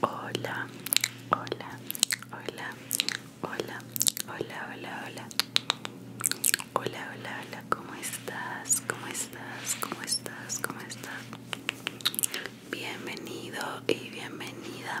Hola, hola, hola, hola, hola, hola, hola. Hola, hola, hola, ¿cómo estás? ¿Cómo estás? ¿Cómo estás? ¿Cómo estás? Bienvenido y bienvenida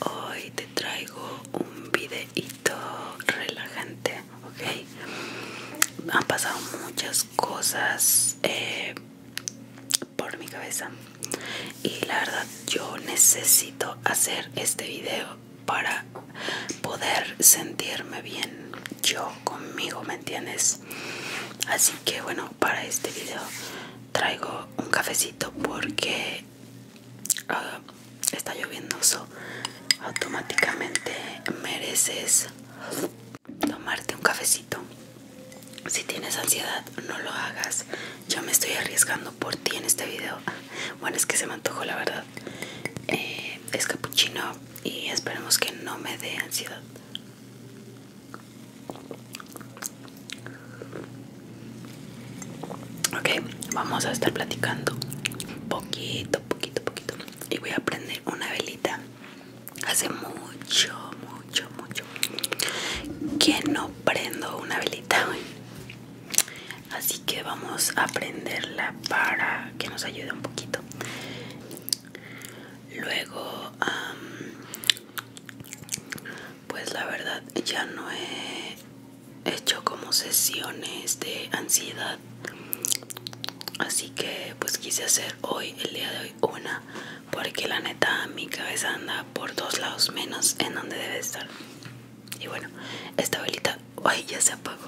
hoy te traigo un videito relajante, ¿ok? Han pasado muchas cosas eh, por mi cabeza y la verdad yo necesito hacer este video para poder sentirme bien yo conmigo, ¿me entiendes? Así que bueno, para este video traigo un cafecito porque ah, está lloviendo Eso automáticamente mereces tomarte un cafecito si tienes ansiedad no lo hagas yo me estoy arriesgando por ti en este video bueno es que se me antojó la verdad eh, es capuchino y esperemos que no me dé ansiedad Ok, vamos a estar platicando poquito, poquito, poquito. Y voy a prender una velita. Hace mucho, mucho, mucho que no prendo una velita Así que vamos a prenderla para que nos ayude un poquito. Luego pues la verdad ya no he hecho como sesiones de ansiedad. Así que pues quise hacer hoy, el día de hoy, una. Porque la neta mi cabeza anda por dos lados menos en donde debe estar. Y bueno, esta velita, ay, ya se apagó.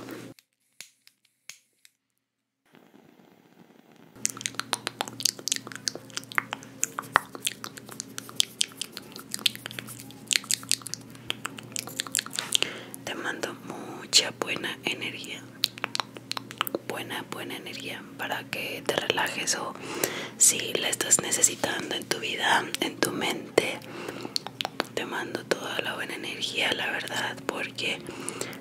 Te mando mucha buena energía. Buena, buena energía para que te relajes o si la estás necesitando en tu vida, en tu mente. Te mando toda la buena energía, la verdad, porque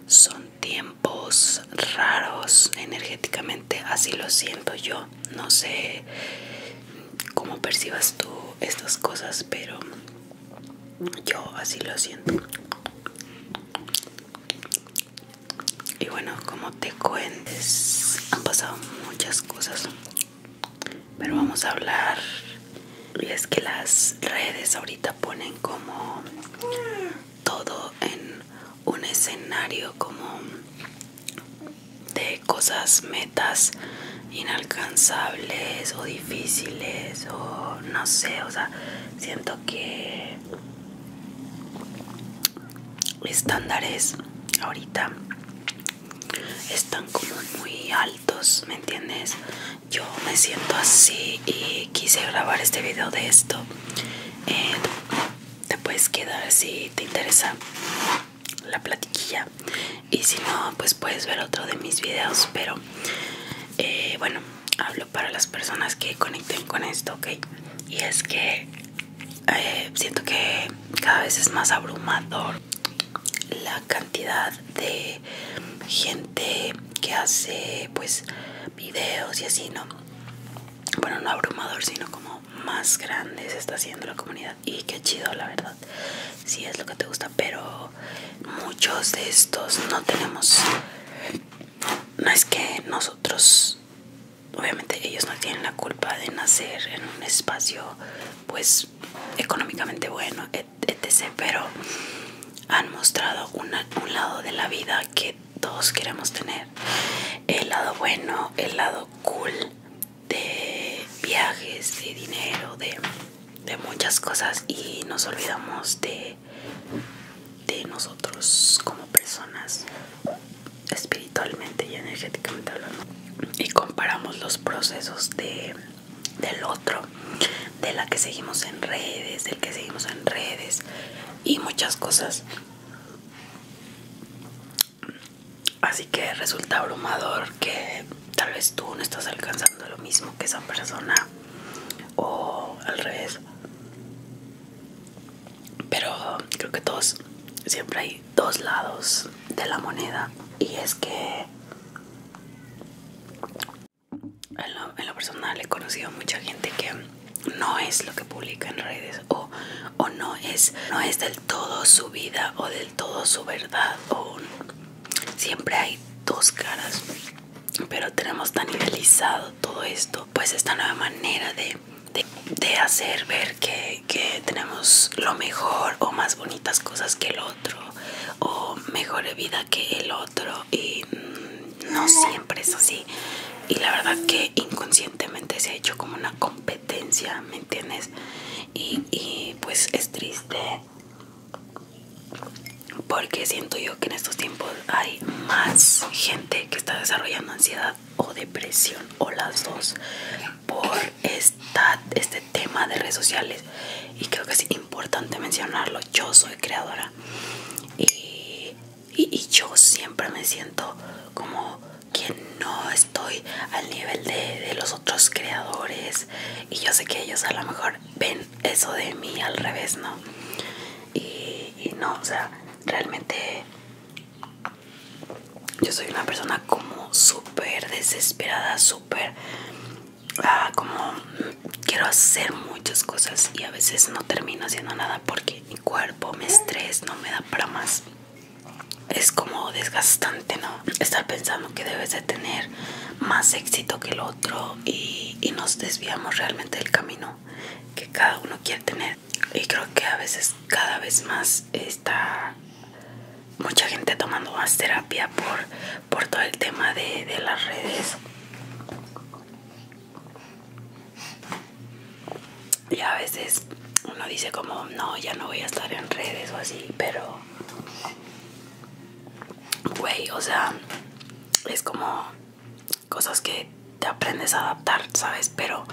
son tiempos raros energéticamente, así lo siento yo. No sé cómo percibas tú estas cosas, pero yo así lo siento. Y bueno, como te cuentes, han pasado muchas cosas, pero vamos a hablar. Y es que las redes ahorita ponen como todo en un escenario como de cosas, metas inalcanzables o difíciles o no sé, o sea, siento que estándares ahorita están como muy altos, ¿me entiendes? Yo me siento así y quise grabar este video de esto eh, te puedes quedar si te interesa la platiquilla y si no pues puedes ver otro de mis videos pero eh, bueno hablo para las personas que conecten con esto ok y es que eh, siento que cada vez es más abrumador la cantidad de gente que hace pues videos y así, ¿no? Bueno, no abrumador, sino como más grande se está haciendo la comunidad. Y qué chido, la verdad. Si es lo que te gusta, pero muchos de estos no tenemos. No es que nosotros, obviamente, ellos no tienen la culpa de nacer en un espacio, pues, económicamente bueno, etc. Pero han mostrado un lado de la vida que todos queremos tener. El lado bueno, el lado cool de viajes, de dinero, de, muchas cosas y nos olvidamos de, de nosotros como personas espiritualmente y energéticamente hablando y comparamos los procesos de, del otro de la que seguimos en redes del que seguimos en redes y muchas cosas. Así que resulta abrumador que tal vez tú no estás alcanzando lo mismo que esa persona o al revés. Pero creo que todos, siempre hay dos lados de la moneda y es que en lo, personal he conocido mucha gente que no es lo que publica en redes o, no, es, no es del todo su vida o del todo su verdad o siempre hay dos caras pero tenemos tan idealizado todo esto pues esta nueva manera de, hacer ver que, que tenemos lo mejor o más bonitas cosas que el otro o mejor vida que el otro y mm, no siempre es así y la verdad que inconscientemente se ha hecho como una competencia, ¿me entiendes? Y, pues es triste porque siento yo que en estos tiempos hay más gente que está desarrollando ansiedad o depresión o las dos por este tema de redes sociales y creo que es importante mencionarlo yo soy creadora y, yo siempre me siento como que no estoy al nivel de, los otros creadores y yo sé que ellos a lo mejor ven eso de mí al revés, ¿no? Y, y no, o sea, realmente yo soy una persona como súper desesperada, súper ah, como quiero hacer muchas cosas y a veces no termino haciendo nada porque mi cuerpo, me estrés no me da para más. Es como desgastante, ¿no? Estar pensando que debes de tener más éxito que el otro y, y nos desviamos realmente del camino que cada uno quiere tener. Y creo que a veces cada vez más está mucha gente tomando más terapia por por todo el tema de, las redes y a veces uno dice como no ya no voy a estar en redes o así pero güey o sea es como cosas que te aprendes a adaptar sabes pero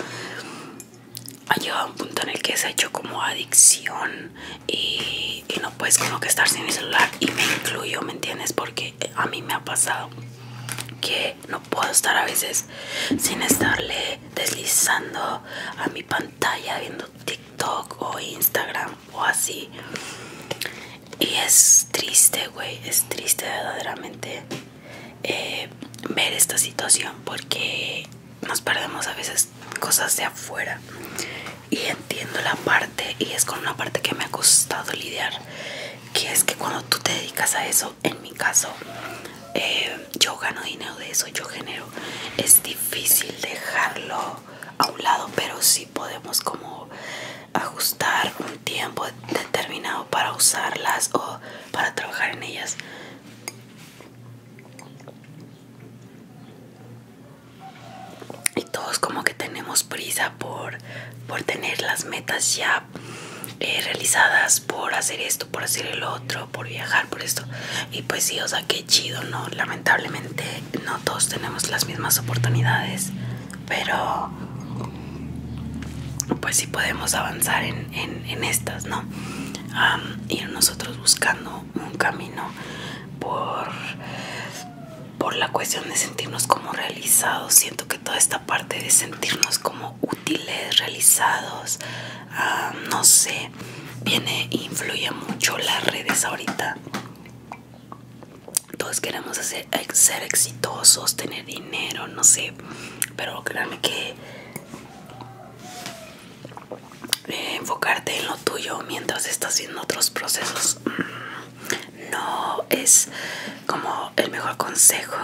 ha llegado un punto en el que se ha hecho como adicción y, no puedes como que estar sin mi celular y me incluyo, ¿me entiendes? Porque eh, a mí me ha pasado que no puedo estar a veces sin estarle deslizando a mi pantalla viendo TikTok o Instagram o así. Y es triste, güey, es triste verdaderamente eh, ver esta situación porque nos perdemos a veces cosas de afuera y entiendo la parte y es con una parte que me ha costado lidiar que es que cuando tú te dedicas a eso en mi caso eh, yo gano dinero de eso yo genero es difícil dejarlo a un lado pero sí podemos como ajustar un tiempo determinado para usarlas o para trabajar en ellas y todos como que tenemos prisa por, por tener las metas ya eh, realizadas, por hacer esto, por hacer el otro, por viajar, por esto. Y pues sí, o sea, qué chido, ¿no? Lamentablemente no todos tenemos las mismas oportunidades, pero pues sí podemos avanzar en, estas, ¿no? ir nosotros buscando un camino por, por la cuestión de sentirnos como realizados. Siento que toda esta parte de sentirnos como útiles, realizados, ah, no sé, viene e influye mucho las redes ahorita. Todos queremos ser exitosos, tener dinero, no sé, pero créanme que eh, enfocarte en lo tuyo mientras estás haciendo otros procesos mm, no es como el mejor consejo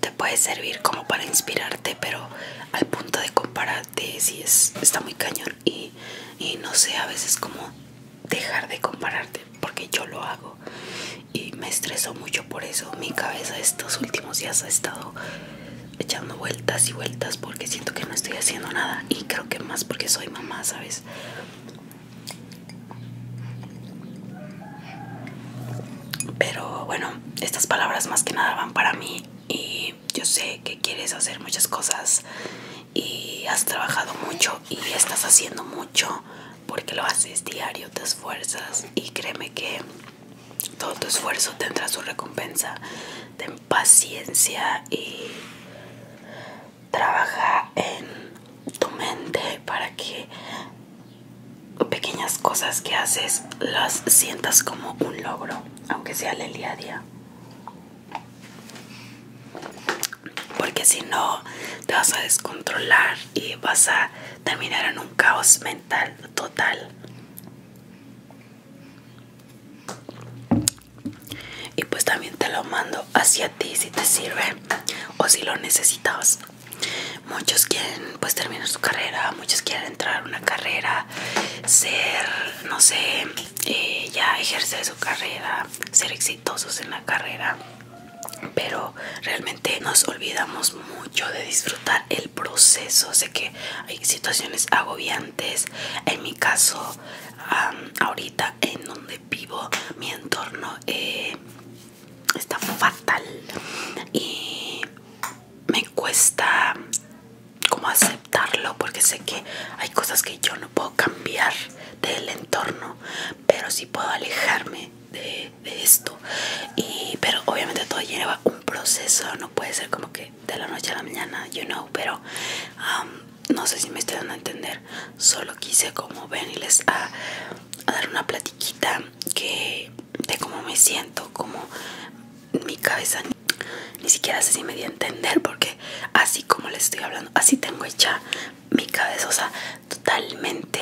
te puede servir como para inspirarte pero al punto de compararte si es está muy cañón y, y no sé a veces como dejar de compararte porque yo lo hago y me estreso mucho por eso mi cabeza estos últimos días ha estado echando vueltas y vueltas porque siento que no estoy haciendo nada y creo que más porque soy mamá, ¿sabes? Pero bueno, estas palabras más que nada van para mí y yo sé que quieres hacer muchas cosas y has trabajado mucho y estás haciendo mucho porque lo haces diario, te esfuerzas y créeme que todo tu esfuerzo tendrá su recompensa. Ten paciencia y trabaja en tu mente para que pequeñas cosas que haces las sientas como un logro, aunque sea el día a día. Porque si no, te vas a descontrolar y vas a terminar en un caos mental total. Y pues también te lo mando hacia ti si te sirve o si lo necesitas. Muchos quieren pues terminar su carrera, muchos quieren entrar a una carrera, ser, no sé, eh, ya ejercer su carrera, ser exitosos en la carrera. Pero realmente nos olvidamos mucho yo de disfrutar el proceso. Sé que hay situaciones agobiantes. En mi caso, ahorita en donde vivo, mi entorno eh, está fatal y me cuesta como aceptarlo porque sé que hay cosas que yo no puedo cambiar del entorno, pero sí puedo alejarme de, esto. Y, pero obviamente todo lleva proceso, no puede ser como que de la noche a la mañana, you know, pero um, no sé si me estoy dando a entender, solo quise como venirles a, a dar una platiquita que de cómo me siento, como mi cabeza ni siquiera sé si me di a entender porque así como les estoy hablando, así tengo hecha mi cabeza, o sea, totalmente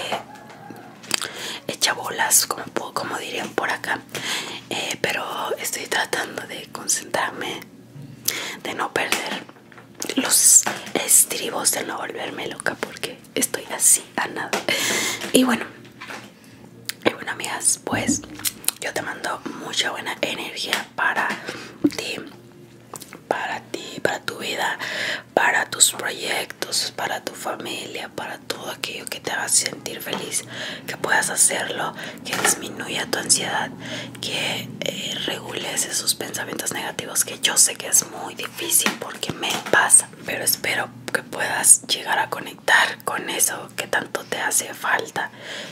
echa bolas como, como dirían por acá eh, pero estoy tratando de concentrarme de no perder los estribos de no volverme loca porque estoy así a nada y bueno y bueno amigas pues yo te mando mucha buena energía para ti para ti para tu vida para tus proyectos para tu familia para todo aquello que te haga sentir feliz, que puedas hacerlo, que disminuya tu ansiedad, que eh, regule esos pensamientos negativos, que yo sé que es muy difícil porque me pasa, pero espero que puedas llegar a conectar con eso que tanto te hace falta.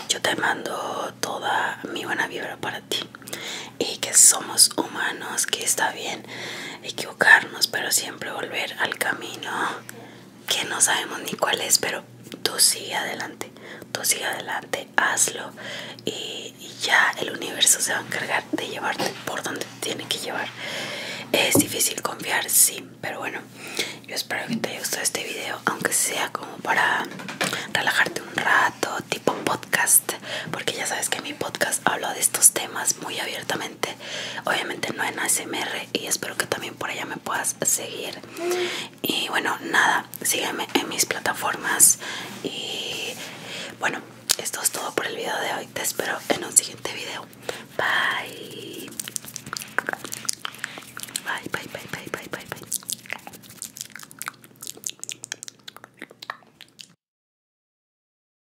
Yo te mando toda mi buena vibra para ti y que somos humanos, que está bien equivocarnos, pero siempre volver al camino que no sabemos ni cuál es, pero tú sigue adelante, tú sigue adelante, hazlo y, ya el universo se va a encargar de llevarte por donde tiene que llevar. Es difícil confiar, sí, pero bueno, yo espero que te haya gustado este video, aunque sea como para relajarte un rato, tipo podcast, porque ya sabes que mi podcast habla de estos temas muy abiertamente obviamente no en ASMR y espero que también por allá me puedas seguir y bueno nada sígueme en mis plataformas y bueno esto es todo por el video de hoy te espero en un siguiente video bye bye bye bye bye bye, bye.